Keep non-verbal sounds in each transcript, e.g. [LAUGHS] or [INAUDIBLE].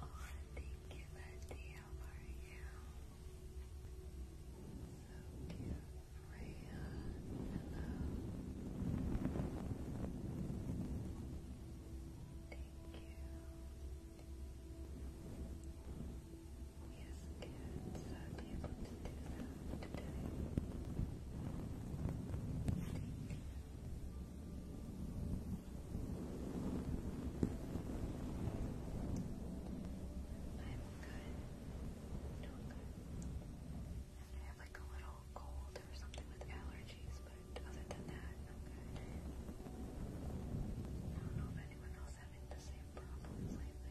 Oh, thank you, Betty. How are you? So cute. Rhea, hello. Thank you. Yes, kids. So do you to do that today? Thank you. I'm good. Doing good. I have like a little cold or something with allergies, but other than that, I'm good. I don't know if anyone else having the same problems lately.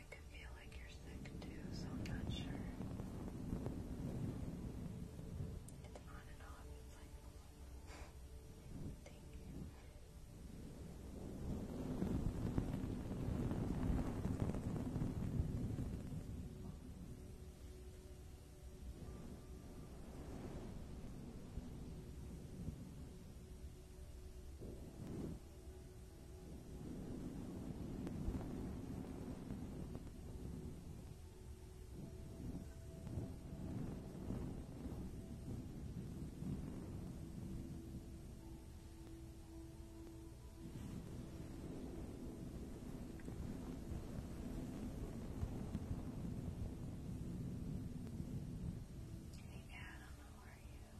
it can feel like you're sick too, so I'm not sure. It's on and off. It's like Thank you. Hey Dad, I'm how are you? Wait,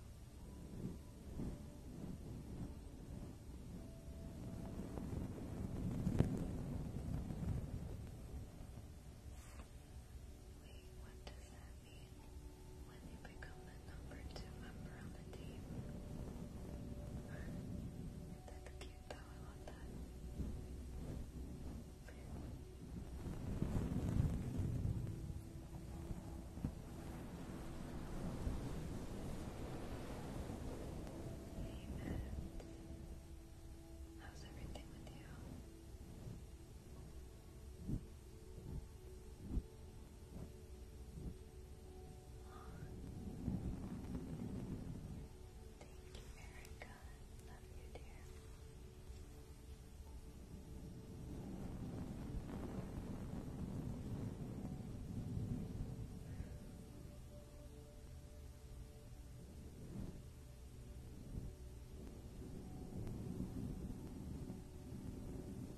what does that mean? When you become the number two member on the team? That's cute though, I love that. Amen. How's everything with you? Oh. Thank you, Erica. Love you, dear. Thank you,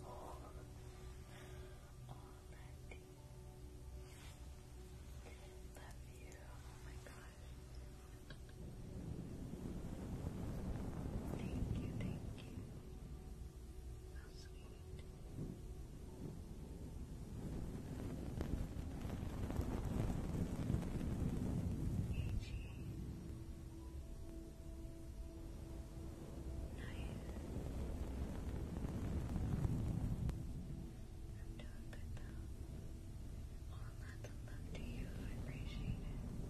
all of it. All of it. That view, oh my gosh. Thank you, thank you. How sweet. All lots of love to you. I appreciate it. Love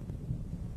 you, love you.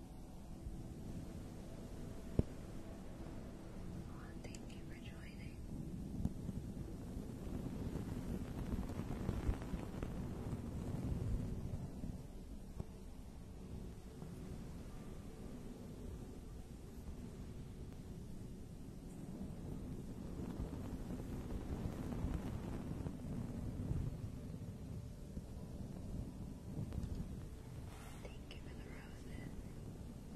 Oh, thank you for joining. Thank Thank you for the roses. Relax. Relax.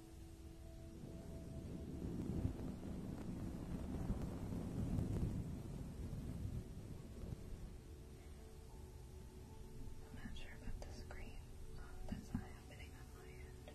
I'm not sure about the screen. Oh, that's not happening on my end. Okay.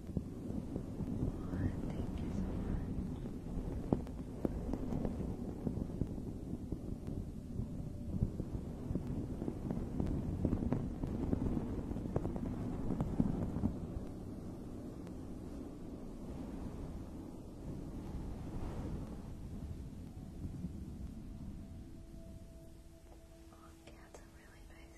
Thank you so much. Oh, that's really nice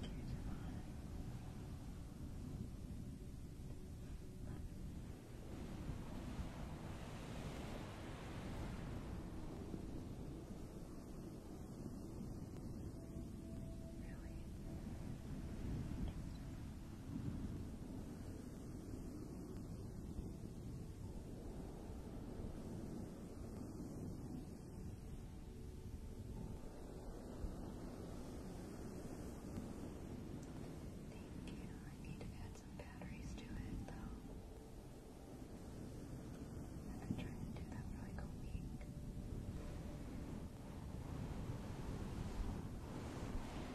thank you, Divine. Really? Thank you. I need to add some batteries to it though. I've been trying to do that for like a week. Thank you.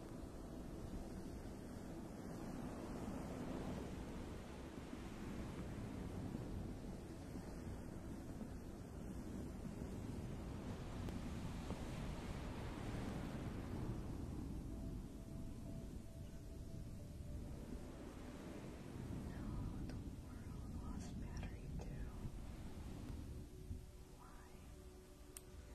the world lost battery too. Why?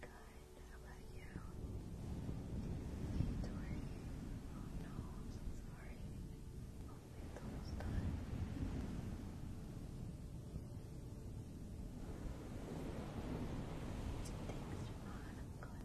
Good. How about you? It's working. Oh no, I'm almost done. Thanks, Ron. I'm glad.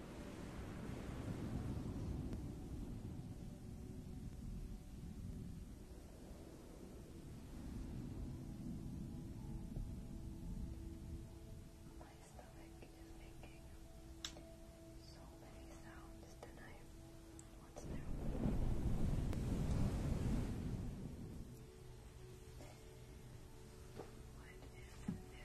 My stomach is making so many sounds tonight. What's new? What is new?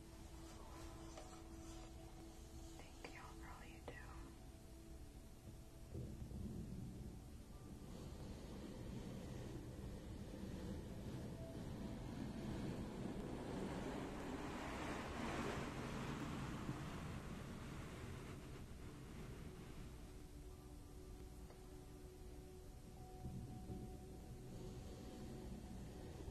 Thank y'all for all you do. Thank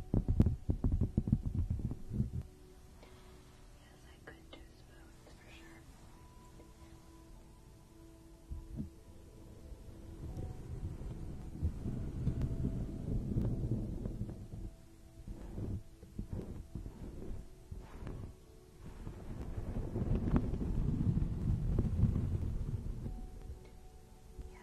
Yes, I could do spoons for sure. Yes.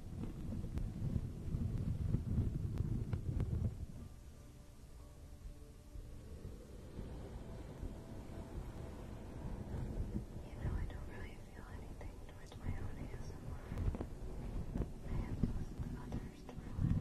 You know, I don't really feel anything towards my own ASMR. I have to listen to others to relax.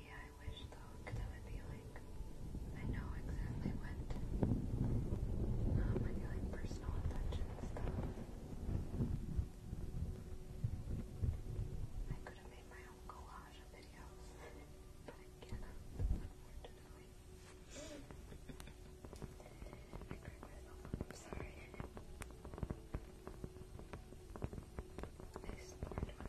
Yeah, I wish though, because would be like, I know exactly what um, I feel like personal attention stuff. I could have made my own collage of videos, but I cannot, unfortunately cracked myself I'm sorry. I snored when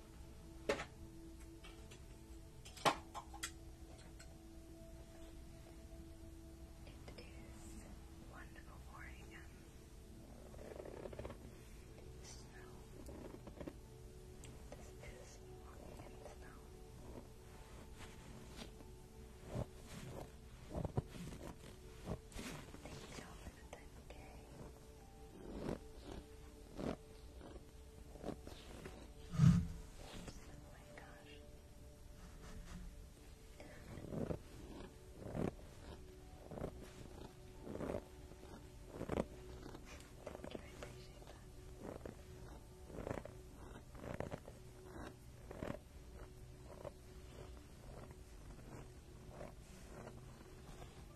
It is 1.04 a.m. Snow. This is walking snow. Thank you for the day my gosh. Thank you, I appreciate that. Thank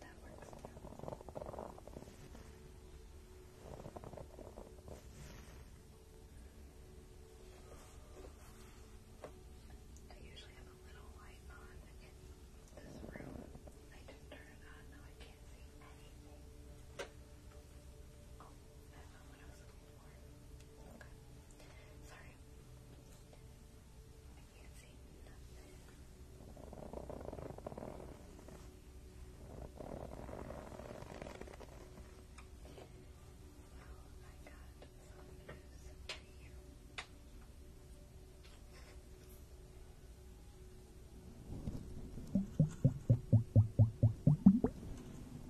That works I usually have a little light on in this room. I just turn it on, now I can't see anything. Oh. That's not what I was looking for. Okay. Sorry. I can't see nothing. Well, I got some news for you. Well,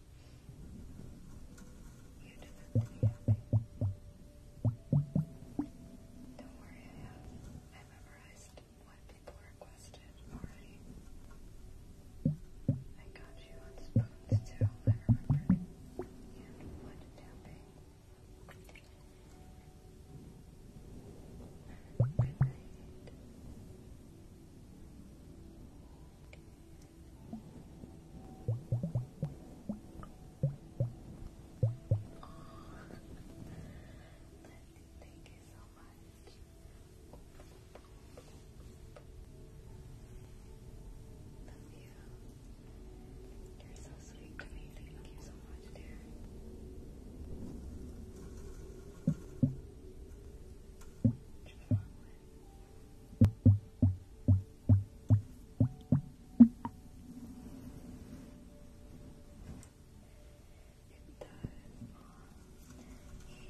You deserve to be happy. Don't worry, I have. memorized what people requested already. I got you on spoons too, I remember. And wood tapping. Good night thank you so much. Love you. You're so sweet to me. Thank you so much, dear. Just Hey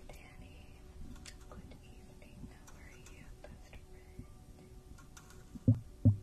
Danny, good evening. How are you, best friend?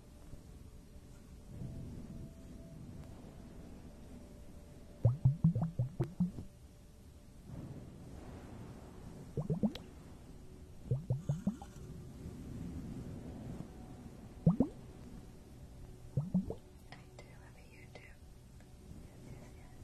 do have a YouTube. Yes, yes, yes.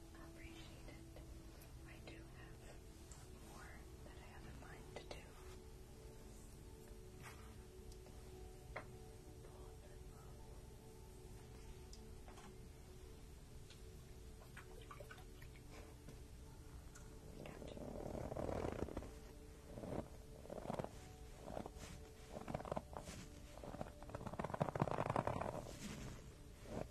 appreciate it. I do have more that I have in mind to do. Gotcha. I'm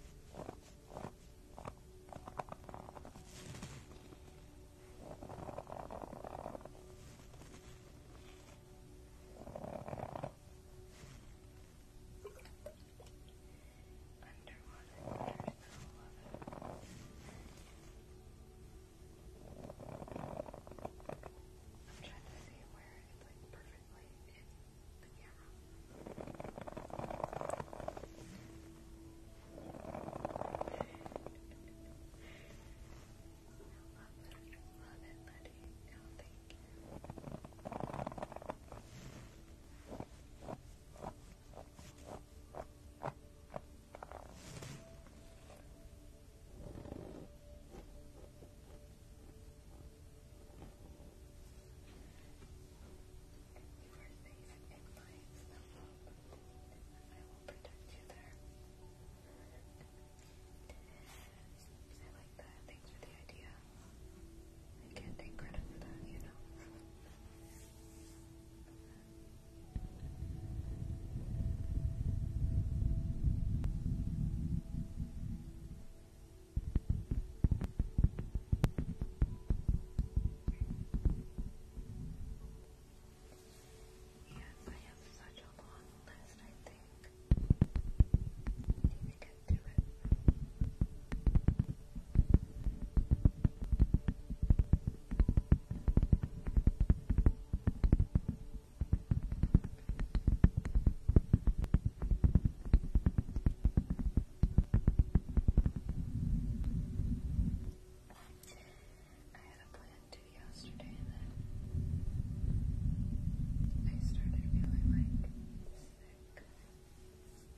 trying to see where it's like perfectly in the camera. I love it. I love it, buddy. No, thank you. Thank protect you there. I like that. Thanks for the idea. I can't take credit for that, you know. Yes, I have such a long list, I think. I need to it. I had a plan to yesterday, and then I started feeling like sick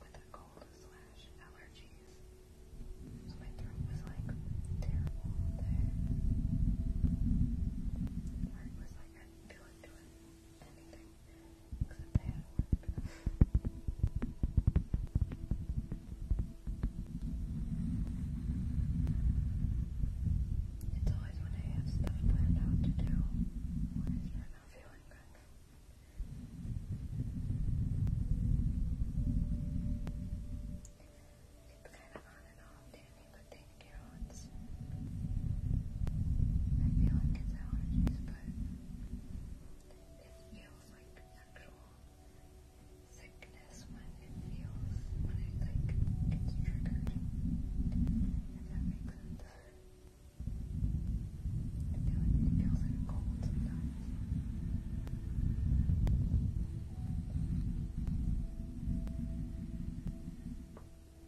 with a cold slash allergies. So my throat was like terrible all day. Where was like I feel like doing it's always when I have stuff planned out to do when I start not feeling good. It's kind of on and off, Danny, but thank you. I nuts. I feel like it's allergies, but it feels like actual sickness when it feels when it like gets triggered. If that makes sense. I feel like it feels like a cold sometimes.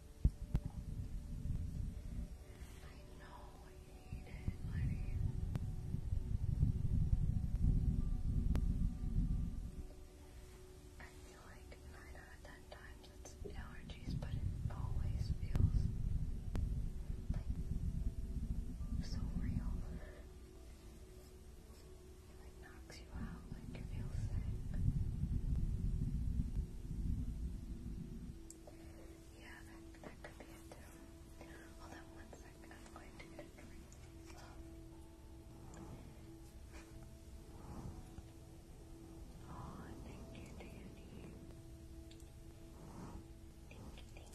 I know I hate it, buddy. I feel like nine out of ten times it's allergies, but it always feels like so real. It like knocks you out, like you feel sick. Yeah, that, that could be too. Hold on one I'm going to get a drink. Oh, thank you, Danny. Thank you, thank you.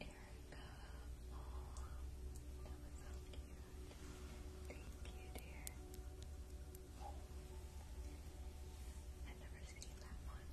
Erica, oh, that was so cute. Thank you, dear. I've never seen that one.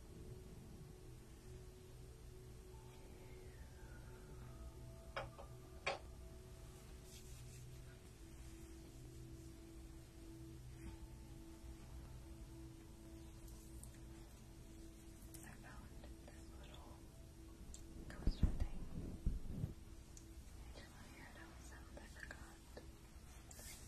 I found this little coaster thing. I just want to I forgot. That is kind of cute.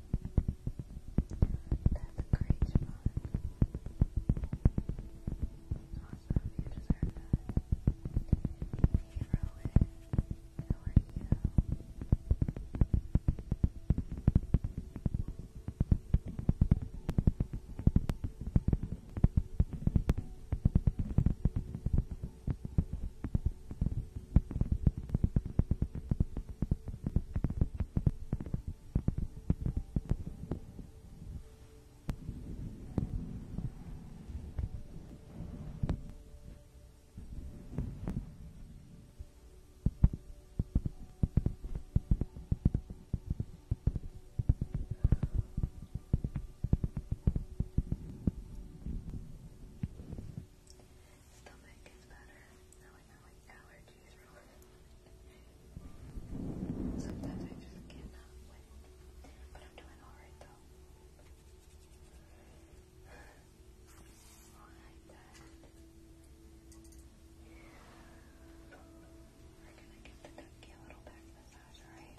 That's great, Siobhan. Awesome, you deserve that. Hey, Rowan, how are you? Stomach is better. Now I know what color Sometimes I just cannot win. But I'm doing alright though. We're gonna give the ducky a little back massage, alright?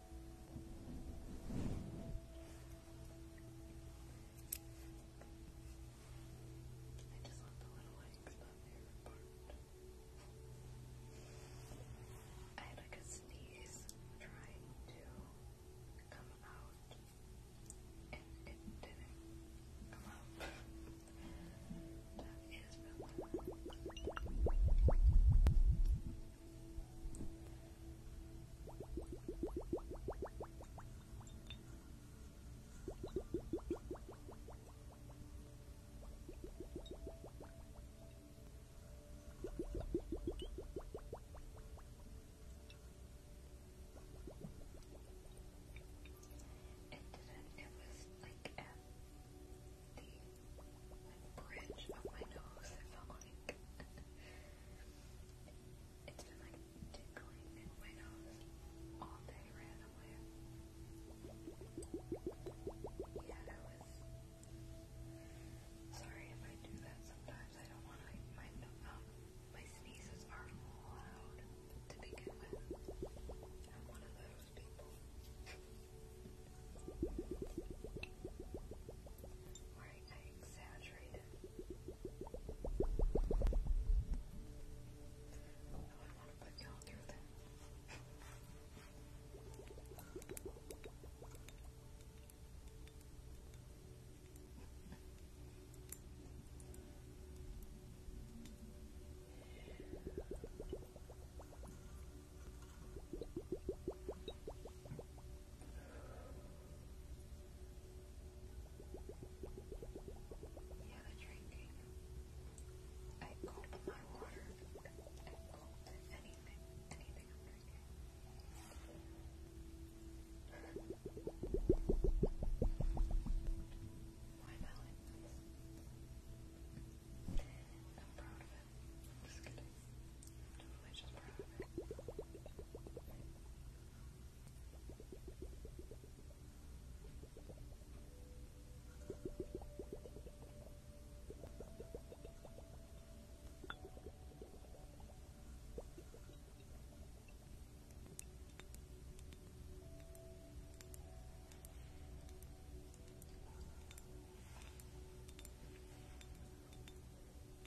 I just love the little legs, my favorite part. I had like a sneeze trying to come out, and it didn't come out. [LAUGHS] that is really it didn't, it was like at um, the bridge of my nose, I felt like. it's been like tickling in my nose all day randomly. Yeah, that Sorry if I do that sometimes. I don't want my, um, my sneezes are loud to begin with. I'm one of those people. Right, I exaggerated. I wouldn't want to put y'all through that. Yeah, the drinking. I gulp my water. I gulp anything, anything I'm drinking. [LAUGHS] Why am I like this? I'm proud of just kidding. Totally just proud of it. I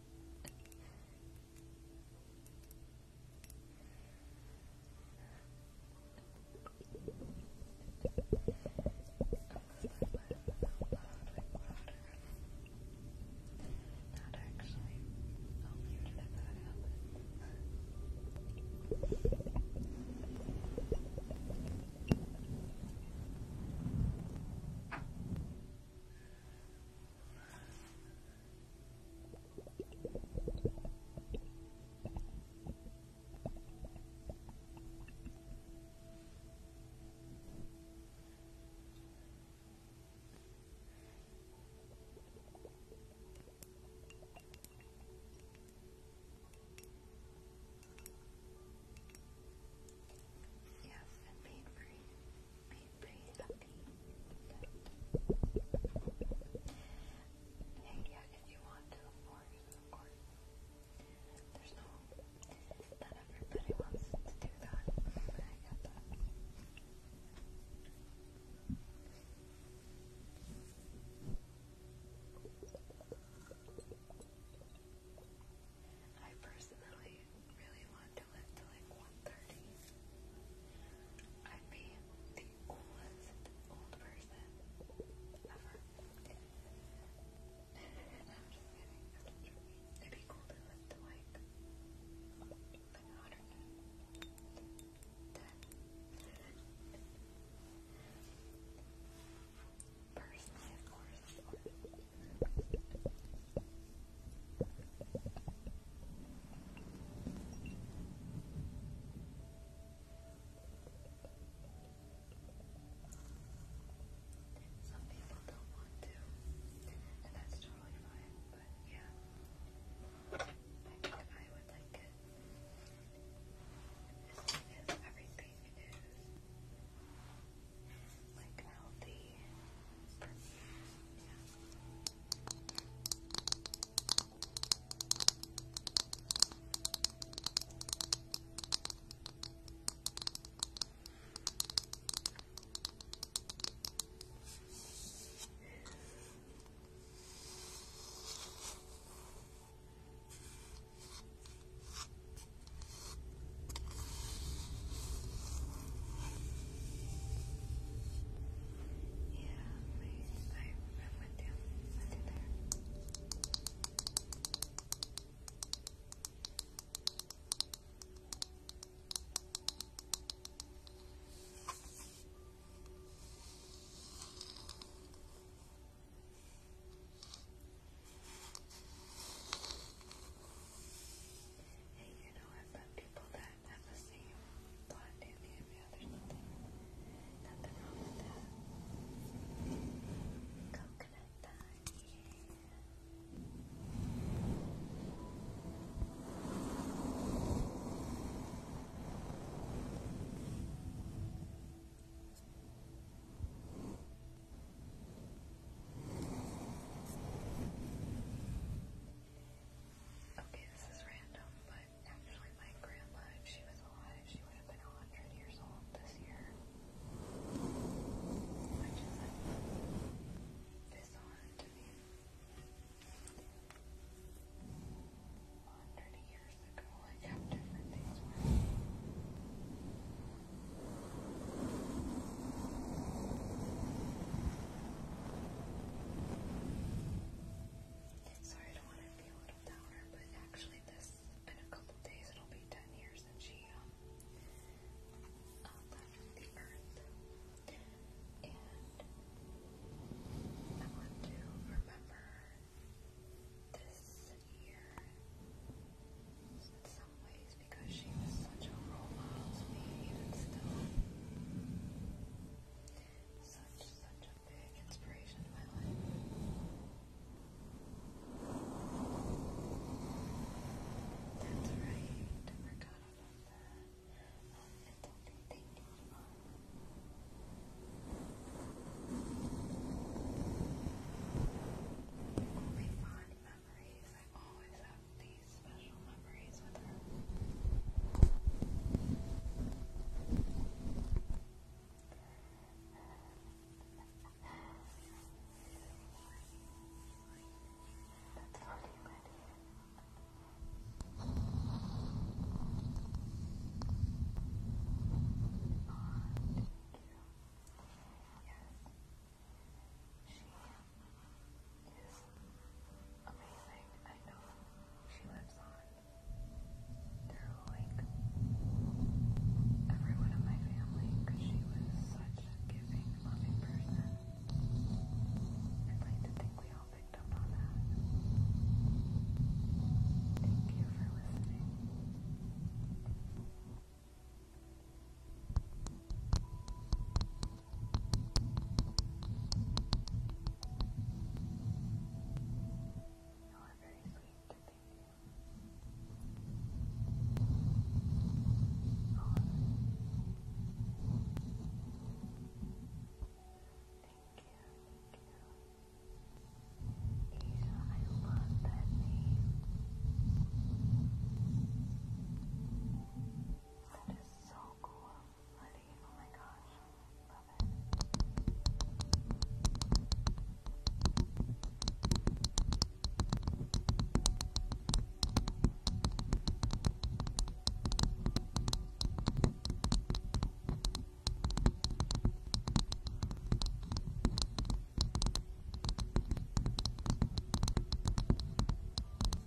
Not actually. I'll leave it at that happens. Yes, and pain free. I breathe if you want to, of course, There's no, not everybody wants to do that. I personally really want to do it to like 1.30, I'd be the coolest old person ever. It'd be cool to live to like, like 110. Personally, of course, some people don't want to, and that's totally fine, but yeah. I would like it. As everything is like healthy for, yeah. Yeah, I, I'm with you. there. Hey, you know, i met people that I've had the same thought nearly every other nothing. Nothing wrong with that. Coconut time, yeah. Okay, this is random, but actually my grandma, if she was alive, she would have been 100 years old this year. Which is a bizarre to me. 100 years ago, like how different things were. Sorry, I don't want to be a little downer, but actually, this in a couple days it'll be ten years that she um, uh, left the earth, and I want to remember this year in some ways because she was such a role model to me, still. Such, such a big inspiration in my That's right, I forgot about that. Um, it's okay, fond memories I always have these special memories with her. That's really good. thank you. Yes. She is amazing. I know she lives on through like everyone in my family because she was such a giving, loving person. I'd like to think we all picked up on that. Thank you for listening. You are very sweet, thank you. Oh, thank you, thank you. I love that name. That is so cool honey. Oh my gosh. Love it.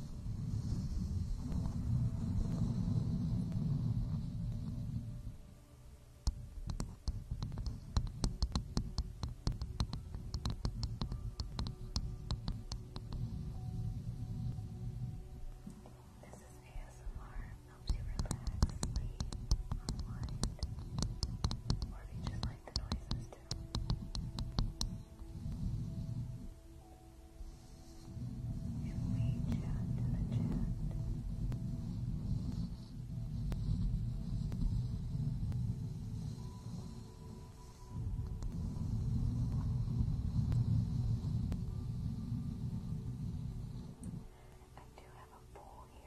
This is ASMR, helps you relax, sleep, unwind, or if you just like the noises too. If we chat to the chat. I do have a bowl here.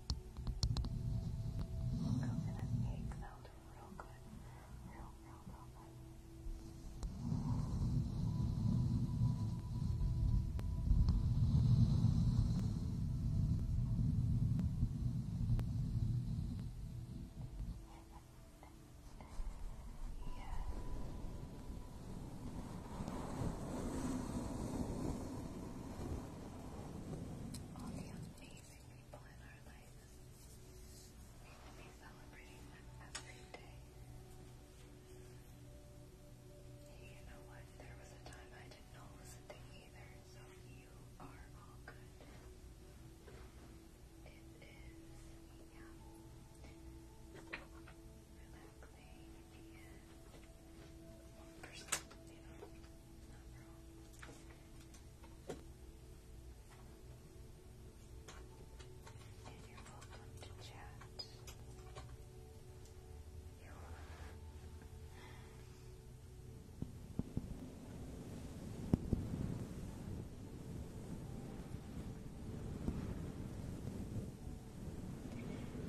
Coconut cake, that'll do real good. Real, real, real good. yeah. Good all the amazing people in our lives. We should be celebrating them every day. you know what? There was a time I did not listen to either, so you are all good. It is, yeah, relaxing and you are welcome to chat. You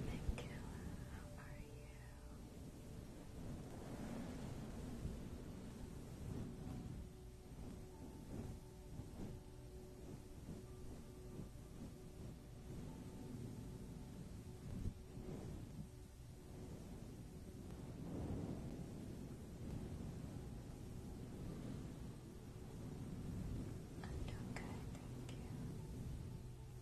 Thank you. How are you? I'm doing good, thank you.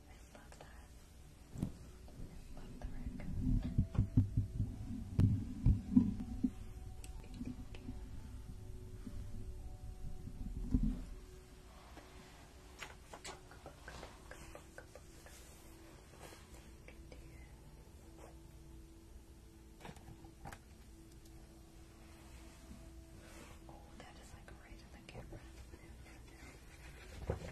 I love that. love the Rick. Oh, that is like right Thank you, Danny.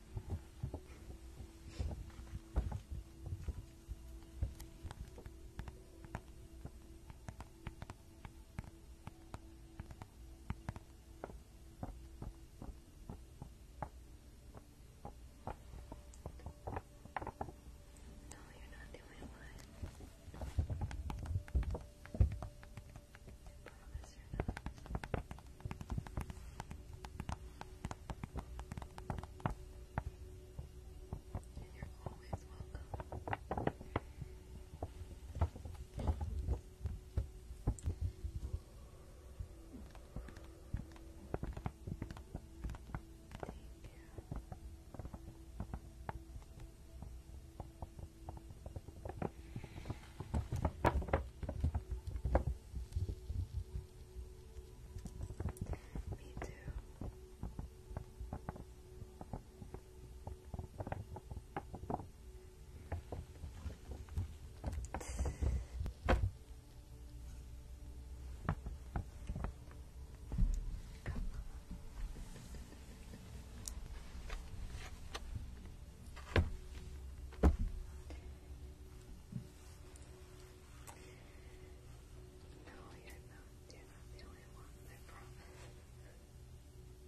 No, you're not the only one this you're always welcome. Take care. Me too. No, you're not. You're not the only one. I promise. Yeah,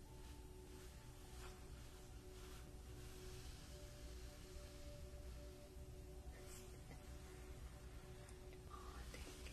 Oh, thank you. Thank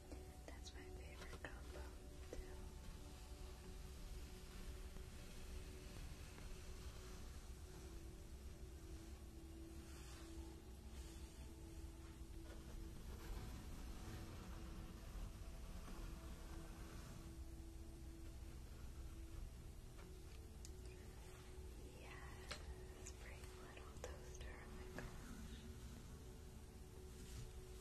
That's my favorite combo too. Yes, pretty little toaster, oh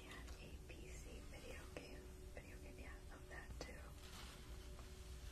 had a PC video game, video game, yeah, of that too. I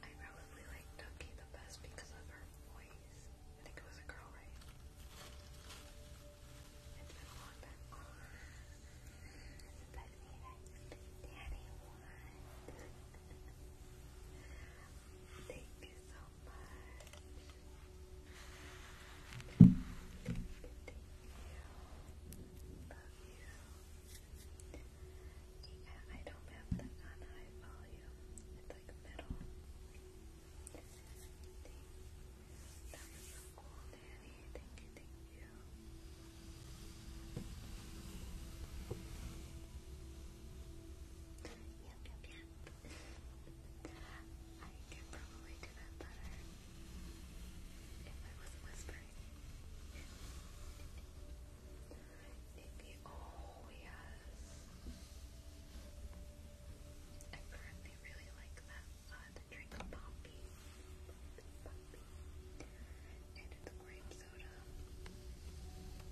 I probably like Ducky the best because of her voice. I think it was a girl, right? [LAUGHS] Thank you so much. Love you. I don't have the on high volume. It's like middle. That was so cool, Danny. Thank you, I could probably do that better if I wasn't whispering. oh yes. I currently really like that, uh, drink of Poppy. And it's grape soda.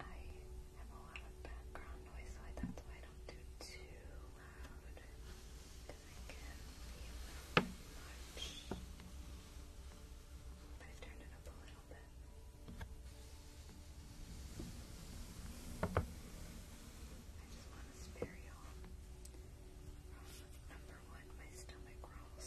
I have a lot of background noise, so that's why I don't do too loud. Because I can be a little much. i turned it up a little bit. I just want to spare y'all. Number one, my stomach rolls.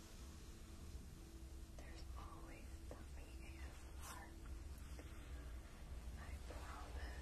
There's always something ASMR. I promise.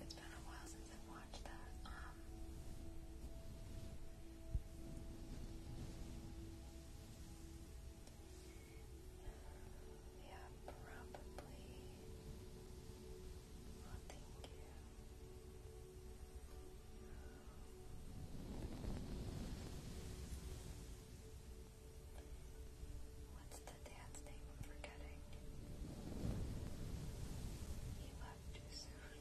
It's been a while since I've watched that. Um, yeah, probably. Oh, thank you. What's the day? I'm forgetting. He left too soon.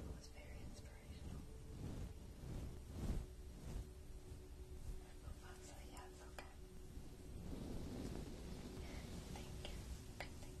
it was very inspirational. Thank you. Good thing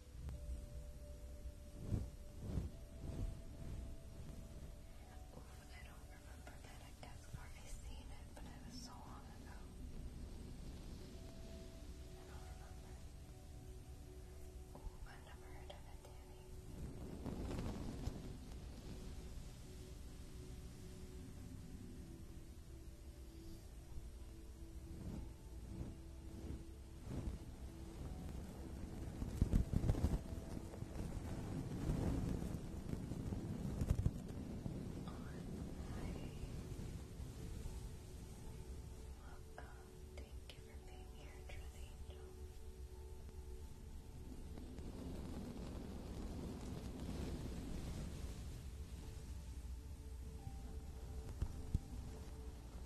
I don't remember Madagascar. I seen it, but it was so long ago. I don't remember. Ooh, I've never heard of it, Thank you for being here, Dread Angel. Thank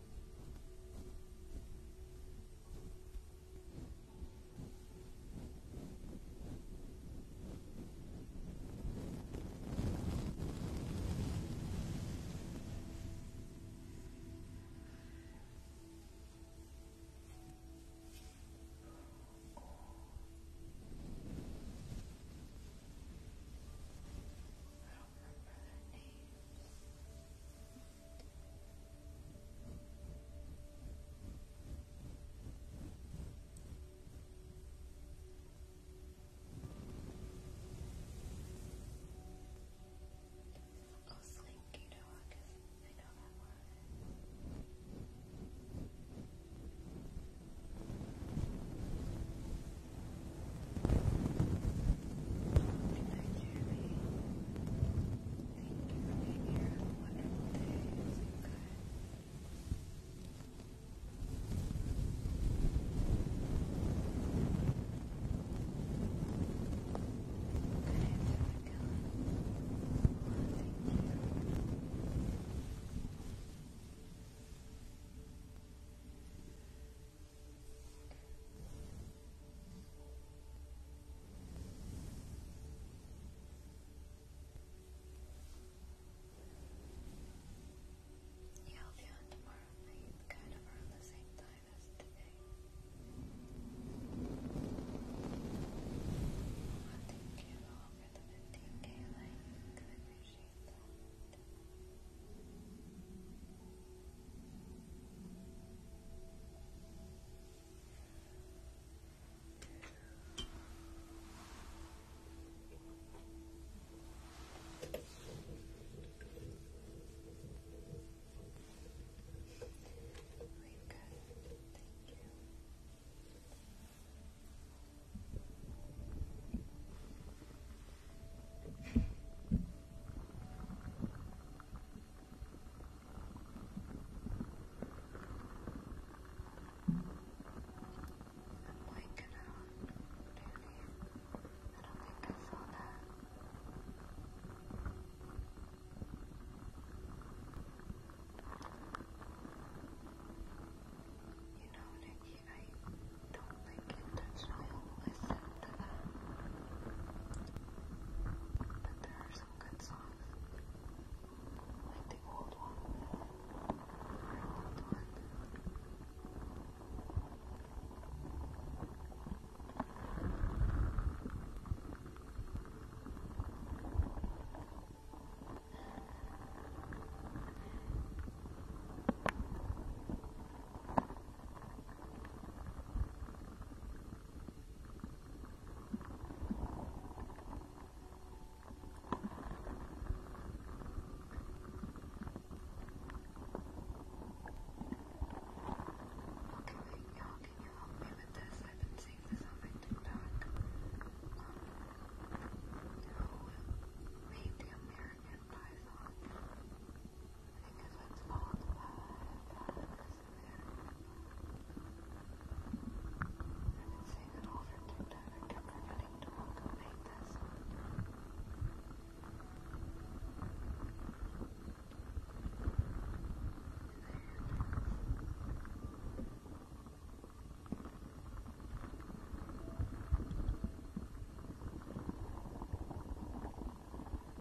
I don't remember their names. Oh, Slinky Dog, I know that one. Good night, Jeremy. Thank you here. Have day. Sleep good. Good night, Monica. Oh, thank you. I'll be on tomorrow night, kind of around the same time as today. Oh, thank you all for the 15k I appreciate that. Thank you. We've got it. Thank you blanket out, really. I don't think I saw that. You know, Nikki, I don't like it. That's why I always but there are some good songs. Like the old one you can you help me with this? I've been seeing this on my TikTok. American Python? I think that's what it's called haven't seen an older TikTok. I kept forgetting to update this. There it is.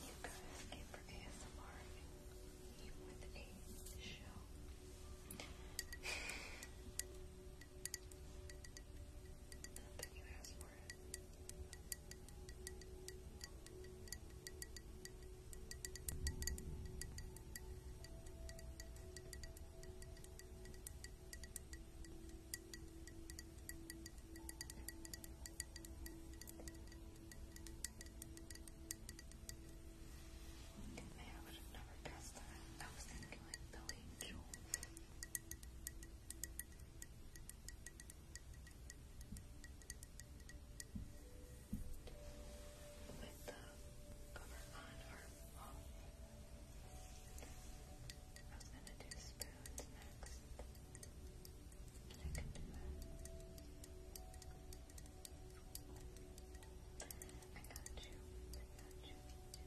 You go to for ASMR and with a show. Not you asked for it. Thank you Man, I would have never guessed that. I was thinking Billy Joel. With the cover on or off. I'm gonna do spoons next. I can do I got you. I got you. let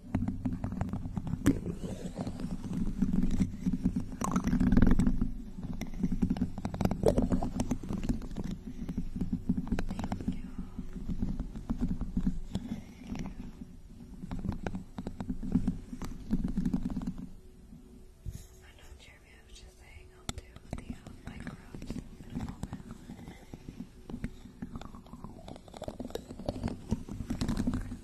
I know Jeremy I was just saying I'll do the uh, microbes in a moment.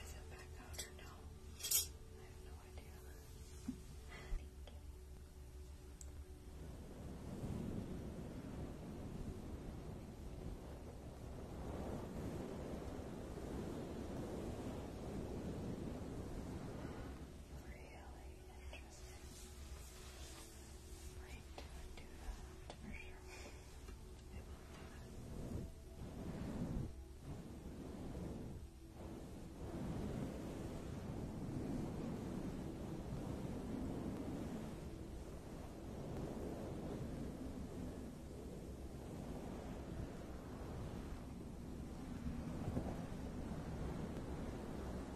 Is it back out or no? I have no idea. Thank you. Really might do that for sure. I will do that. Thank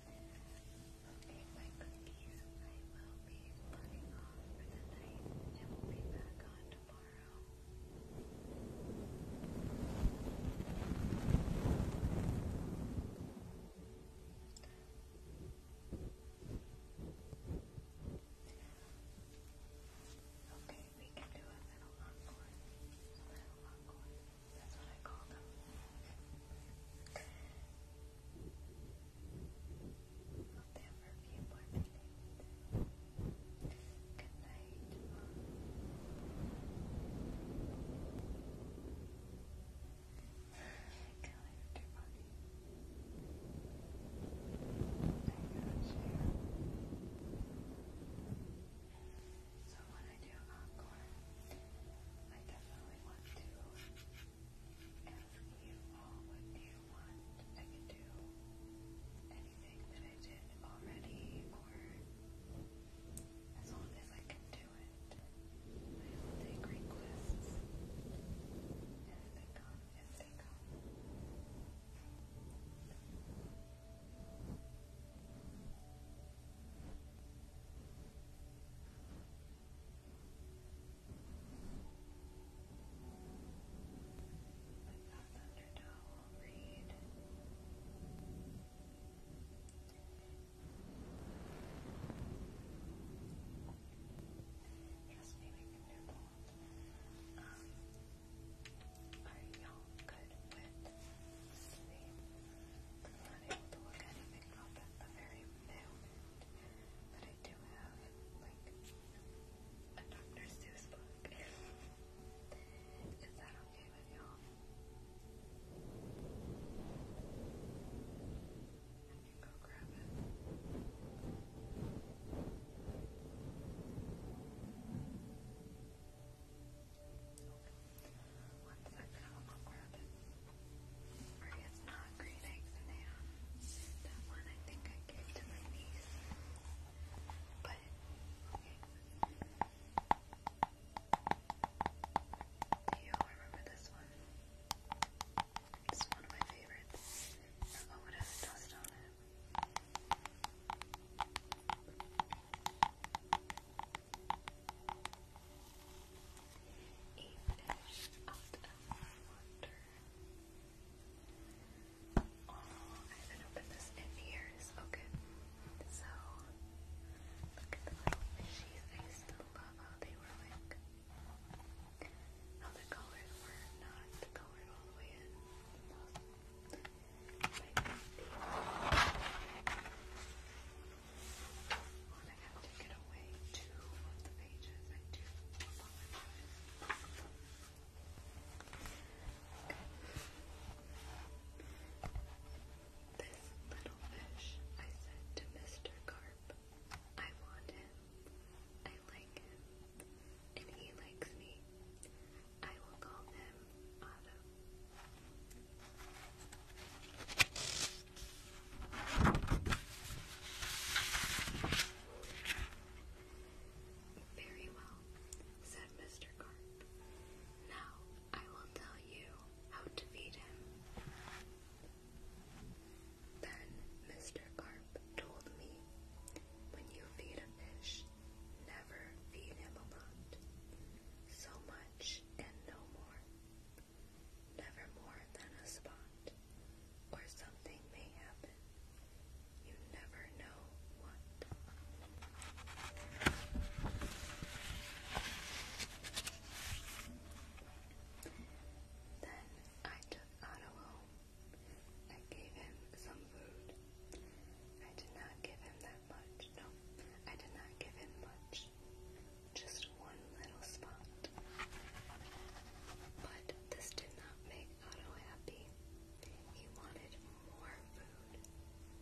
Okay, my cookies, I will be putting on for the night and we'll be back on tomorrow. Okay, we can do a little encore. A little encore. That's what I call them. I'll there for more minutes. Good night. Go lift your body. So when I do encore, I definitely want to ask you I can do anything that I did already, or as long as I can do it. I will take requests but that's undertow will read. Trust me, we can do both. Um, are y'all good with sleep? I'm not to look anything up at the very moment, I do have like a Dr. Seuss book. Is that okay with y'all? I can go grab it. One second, I'll grab it. Or it's not green eggs and ham. That one I think I gave to my niece. But you all remember this one? It's one of my favorites. Oh, what has dust on it? A fish I haven't opened this in years. Okay. So, look at the little fishies. I used to love how they were like, how the colors were not colored all the way in. I have This little fish, I said to Mr. Carp, I want him. I like him. And he likes me. I will call him Otto. Very well, said Mr. Carp. Now I will tell you how to feed him. Then Mr. Carp told me, when you feed a fish, never feed him a lot. So much and no more never more than a spot, or something may happen. You never know what. Then I took Otto home. I gave him some food. I did not give him that much. No, I did not give him much. Just one little spot. But this did not make Otto happy. He wanted more food.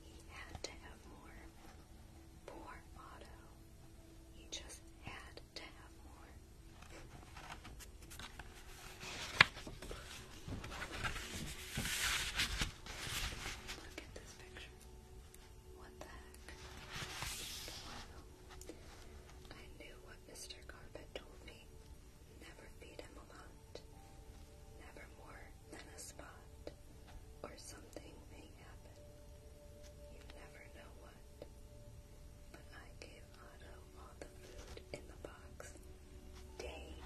He had to have more. Poor Otto. He just had to have more. Look at this picture. What the heck? I knew what Mr. Carpet told me. Never feed him a lot. Never more than a spot. Or something may happen. You never know what. But I gave Otto all the food in the box. Dang.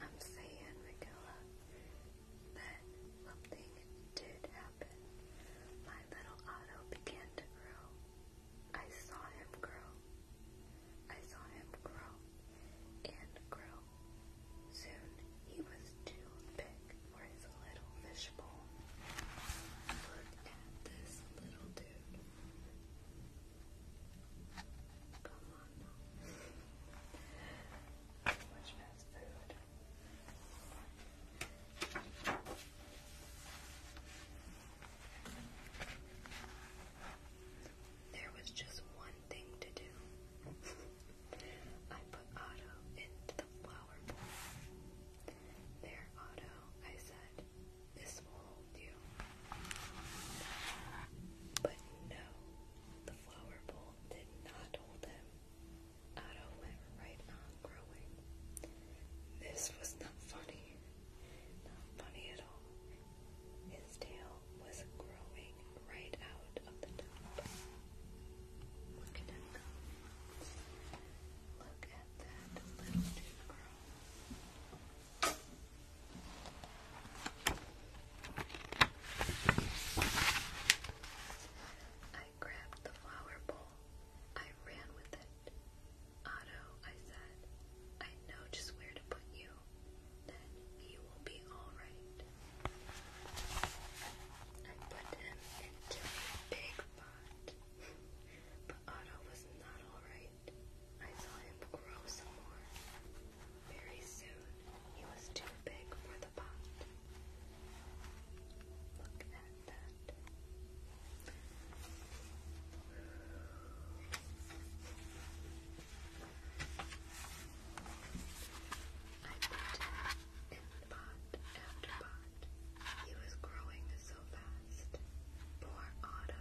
I'm saying, Michaela, that something did happen. My little Otto began to grow. I saw him grow. I saw him grow and grow. Soon he was too big for his little fishbowl. Look at this little dude. There was just one thing to do. [LAUGHS] I put Otto into the flower There, Otto, I said, this will hold you. But no, the flower bowl did not hold him. Otto went right on growing. This was not funny. Not funny at all. His tail was growing right out of the top. Look at him go. Look at that little dude grow. I grabbed the flower bowl. I ran with it. Otto, I said, I know just where to put you. Then you will be all right. I put him into a big pot, [LAUGHS] but Otto was not all right. I saw him grow some more. Very soon, he was too big for the pot. Look at that. I put him in pot after pot. He was growing so fast. Poor Otto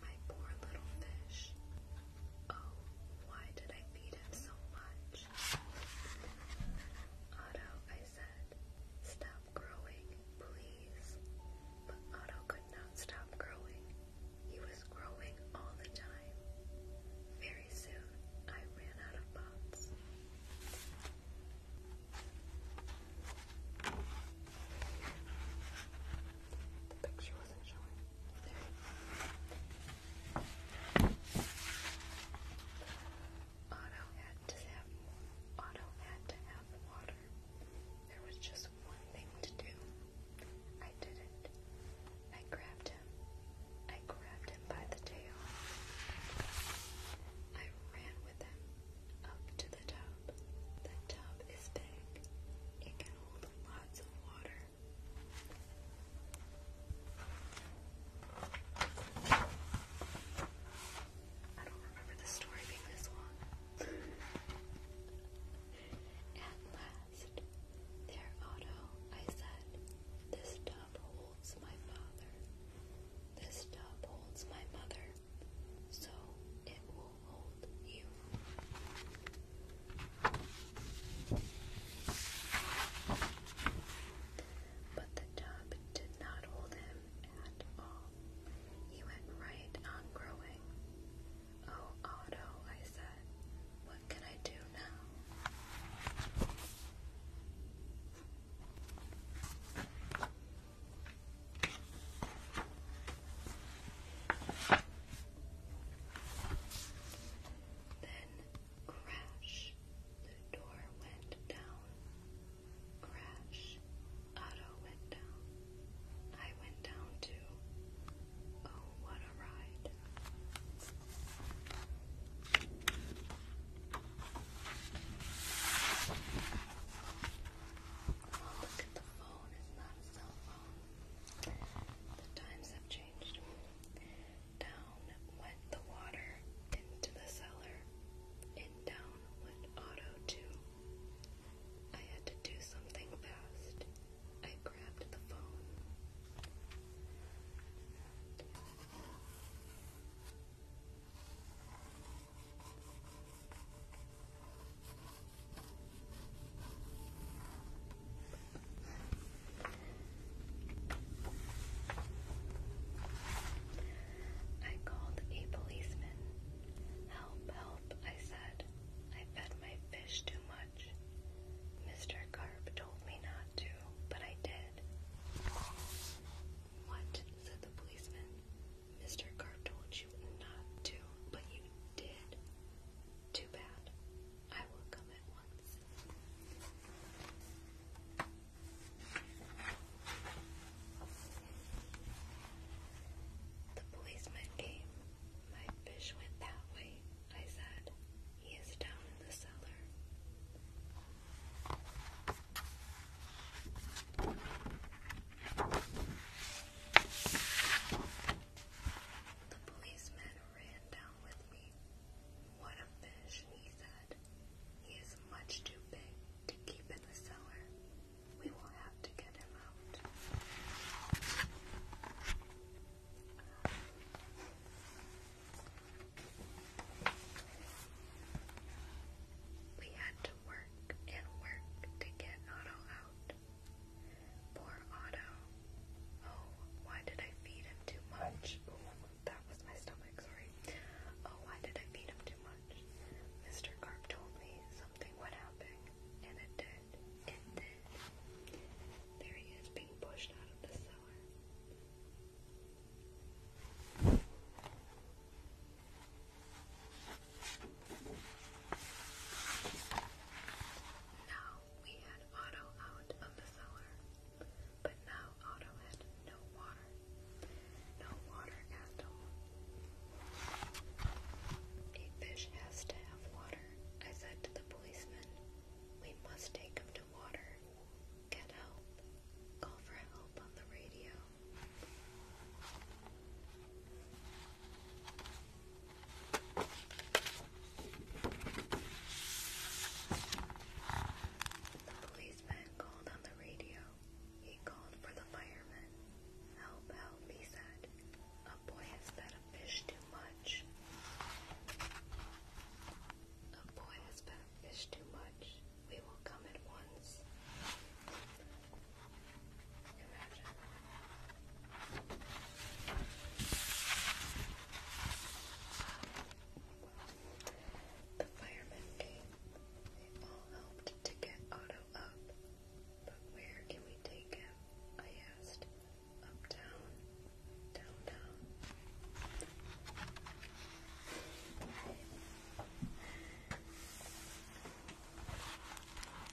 my poor little fish. Oh, why did I feed him so much? Otto, I said, stop growing, please. But Otto could not stop growing. He was growing all the time. Very soon, I ran out of pots. The picture wasn't showing. There. Otto had to have water. There was just one thing to do. I did it. I grabbed him. I grabbed him by the tail. I ran with him up to the tub. The tub is big, it can hold lots of water. I don't remember the story being this long. At last, there, Otto, I said, this tub holds my father. This tub holds my mother. So it will but the tub did not hold him at all. He went right on growing. Oh, Otto, I said, what can I do now? Then crash, the door went down. Crash, Otto went down. I went down too. Oh, what a ride. Oh, look at the phone, isn't the times have changed. Down went the water into the cellar, and down went Otto too. I had to do something fast. I grabbed the phone. I called a policeman. Help, help, I said. I fed my fish too much. Mr. Carp told me not to, but I did. What? said the policeman. Mr. Carp told you not to, but you did. Too bad. I will come at once. The policeman came. My fish went that way, I said. He is down in the cellar. The policeman ran down with me. What a fish, he said. He is much too big to keep in the cellar. We will have to get him out. We had to work and work to get Otto out. Poor Otto. Oh, why did I feed him too much? that was my stomach, sorry. Oh, why did I feed him too much? Mr. Carp told me something would happen, and it did. It did. There he is being pushed out of the cellar. Now we had Otto out of the cellar, but now Otto had no water. No water at all. A fish has to have water, I said to the policeman. We must take him to water. Get help. Call for help on the radio. The policeman called on the radio. He called for the firemen. Help, help, he said. A boy has fed a too much. A boy has fed a too much. We will come at once. Imagine. The firemen came. They all helped to get Otto up. But where can we take him? I asked. Uptown? Downtown?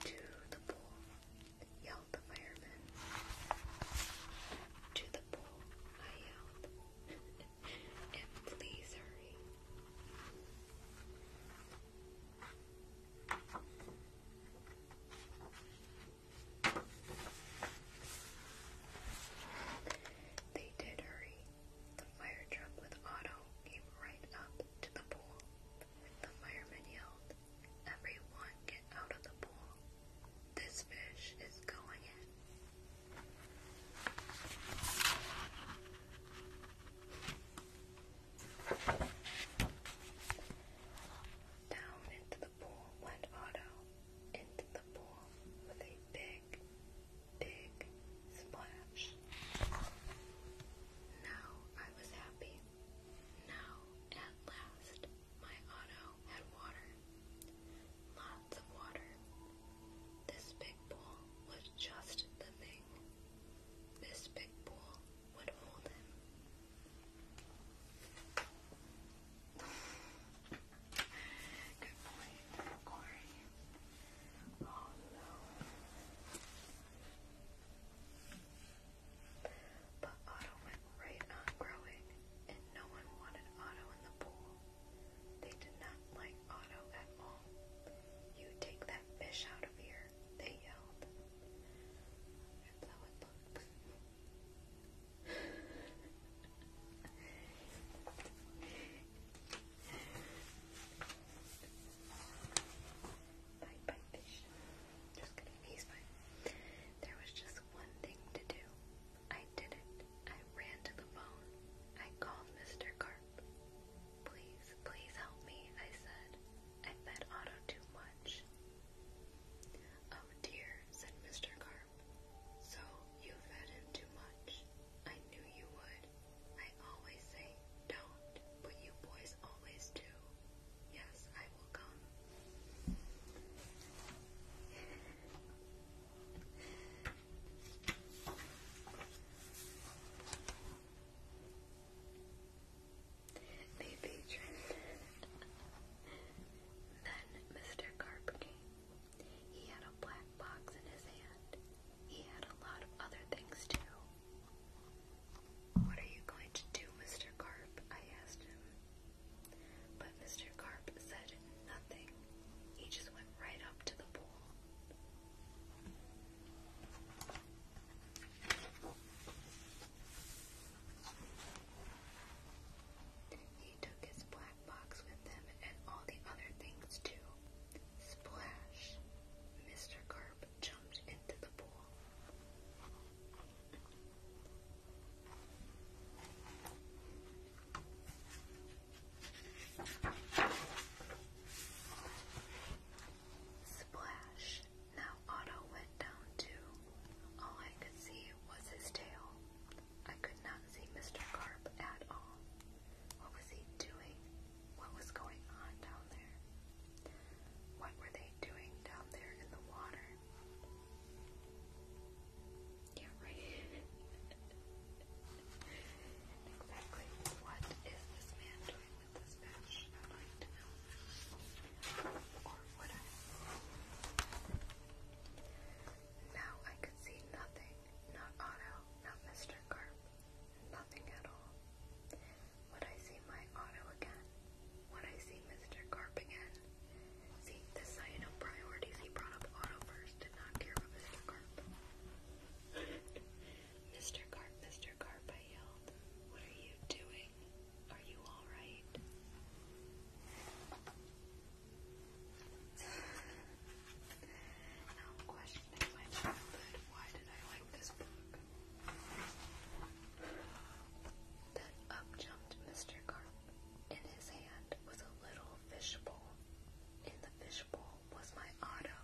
To the pool yelled the firemen To the pool, I yelled. [LAUGHS] and please hurry. They did hurry. The fire truck with Otto came right up to the pool. The fireman yelled, Everyone get out of the pool. This fish is going in. Down into the pool went Otto, into the pool with a big, big splash. Now I was happy. Now, at last, my auto had water. Lots of water. This big pool was just the thing. This big pool would hold him. Good point, Corey. Oh no. But Otto went right on growing, and no one wanted Otto in the pool. They did not like Otto at all. You take that fish out of here, they yelled. That's how it looks he's fine. There was just one thing to do. I did it. I ran to the phone. I called Mr. Carp. Please, please help me, I said. I fed Otto too much. Oh dear, said Mr. Carp. So you fed him too much. I knew you would. I always say don't, but you boys always do. Yes, I will come. the then Mr. Carp came. He had a black box in his hand. He had a lot of other things too. What are you going to do, Mr. Carp? I asked him. But Mr. Carp said nothing. He just went right up to the pool. He took his black box with him and all the other things too. Splash! Mr. Carp jumped into the pool. Splash! Now Otto went down too. All I could see was his tail. I could not see Mr. Carp at all. What was he doing? What was going on down there? What were they doing down there in the water? Yeah, right. [LAUGHS] exactly what is this man doing with this fish? Or would Now I could see nothing. Not Otto, not Mr. Carp, nothing at all. When I see my auto again. When I see Mr. Carp again. See, this how you know priorities. He brought up auto first, did not care about Mr. Carp. Mr. Carp, Mr. Carp, I yelled. What are you doing? Are you alright? [LAUGHS] now I'm questioning my childhood. Why did I like this book? Then up jumped Mr. Carp. In his hand was a little fishbowl. In the fishbowl was my auto.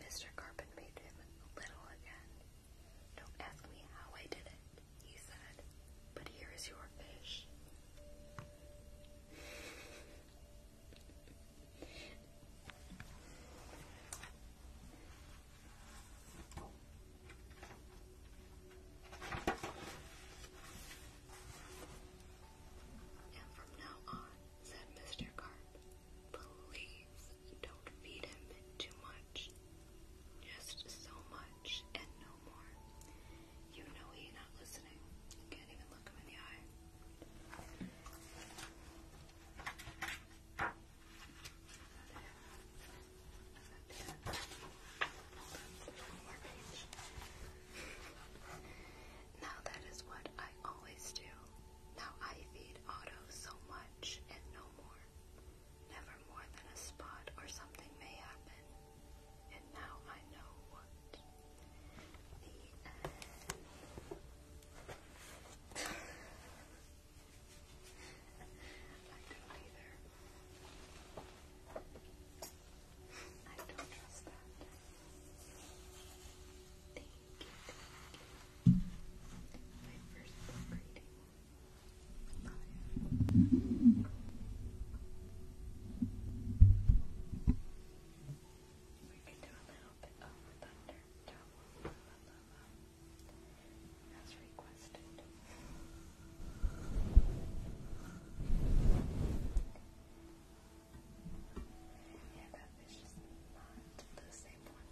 Mr. Carpet made him little again. Don't ask me how I did it, he said, but here is your fish. And from now on, said Mr. Carp, please don't feed him too much. Just so much and no more. You know he's not listening. can't even look him in the eye. Now that is what I always do. Now I feed Otto so much and no more. Never more than a spot or something may happen. And now I know what. The I don't either. I don't trust that. Thank you, My first book reading. Bye. We can do a little bit of thunder as requested. Yeah, that is just not the same one.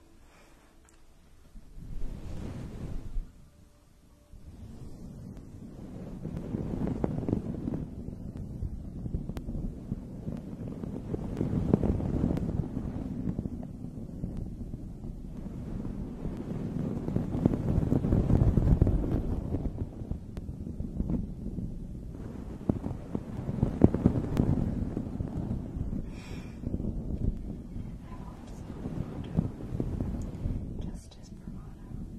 Justice for Mono.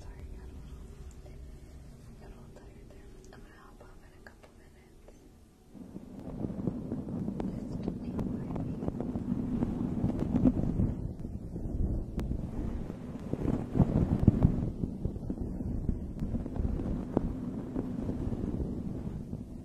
Sorry, got a little, got a little tired there. I'm gonna hop off in a couple minutes. Just keep me Thank you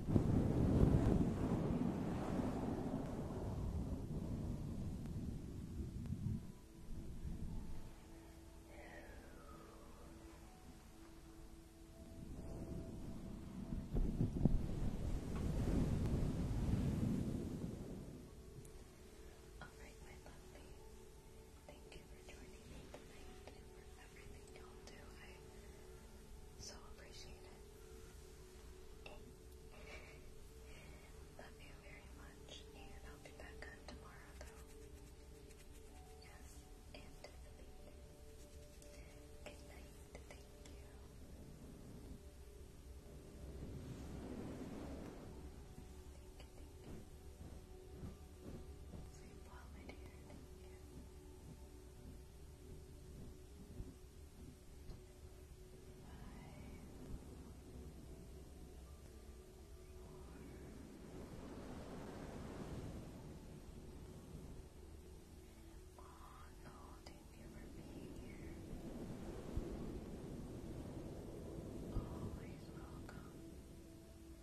Alright, my lovely. Thank you for joining me tonight. We're everything y'all do. I so appreciate it. Love you very much, and I'll be back on tomorrow, though. Yes, and Tiffany. thank you. Thank you, Sleep well, my dear. Thank you you for being here. Always welcome. Thank you for being here.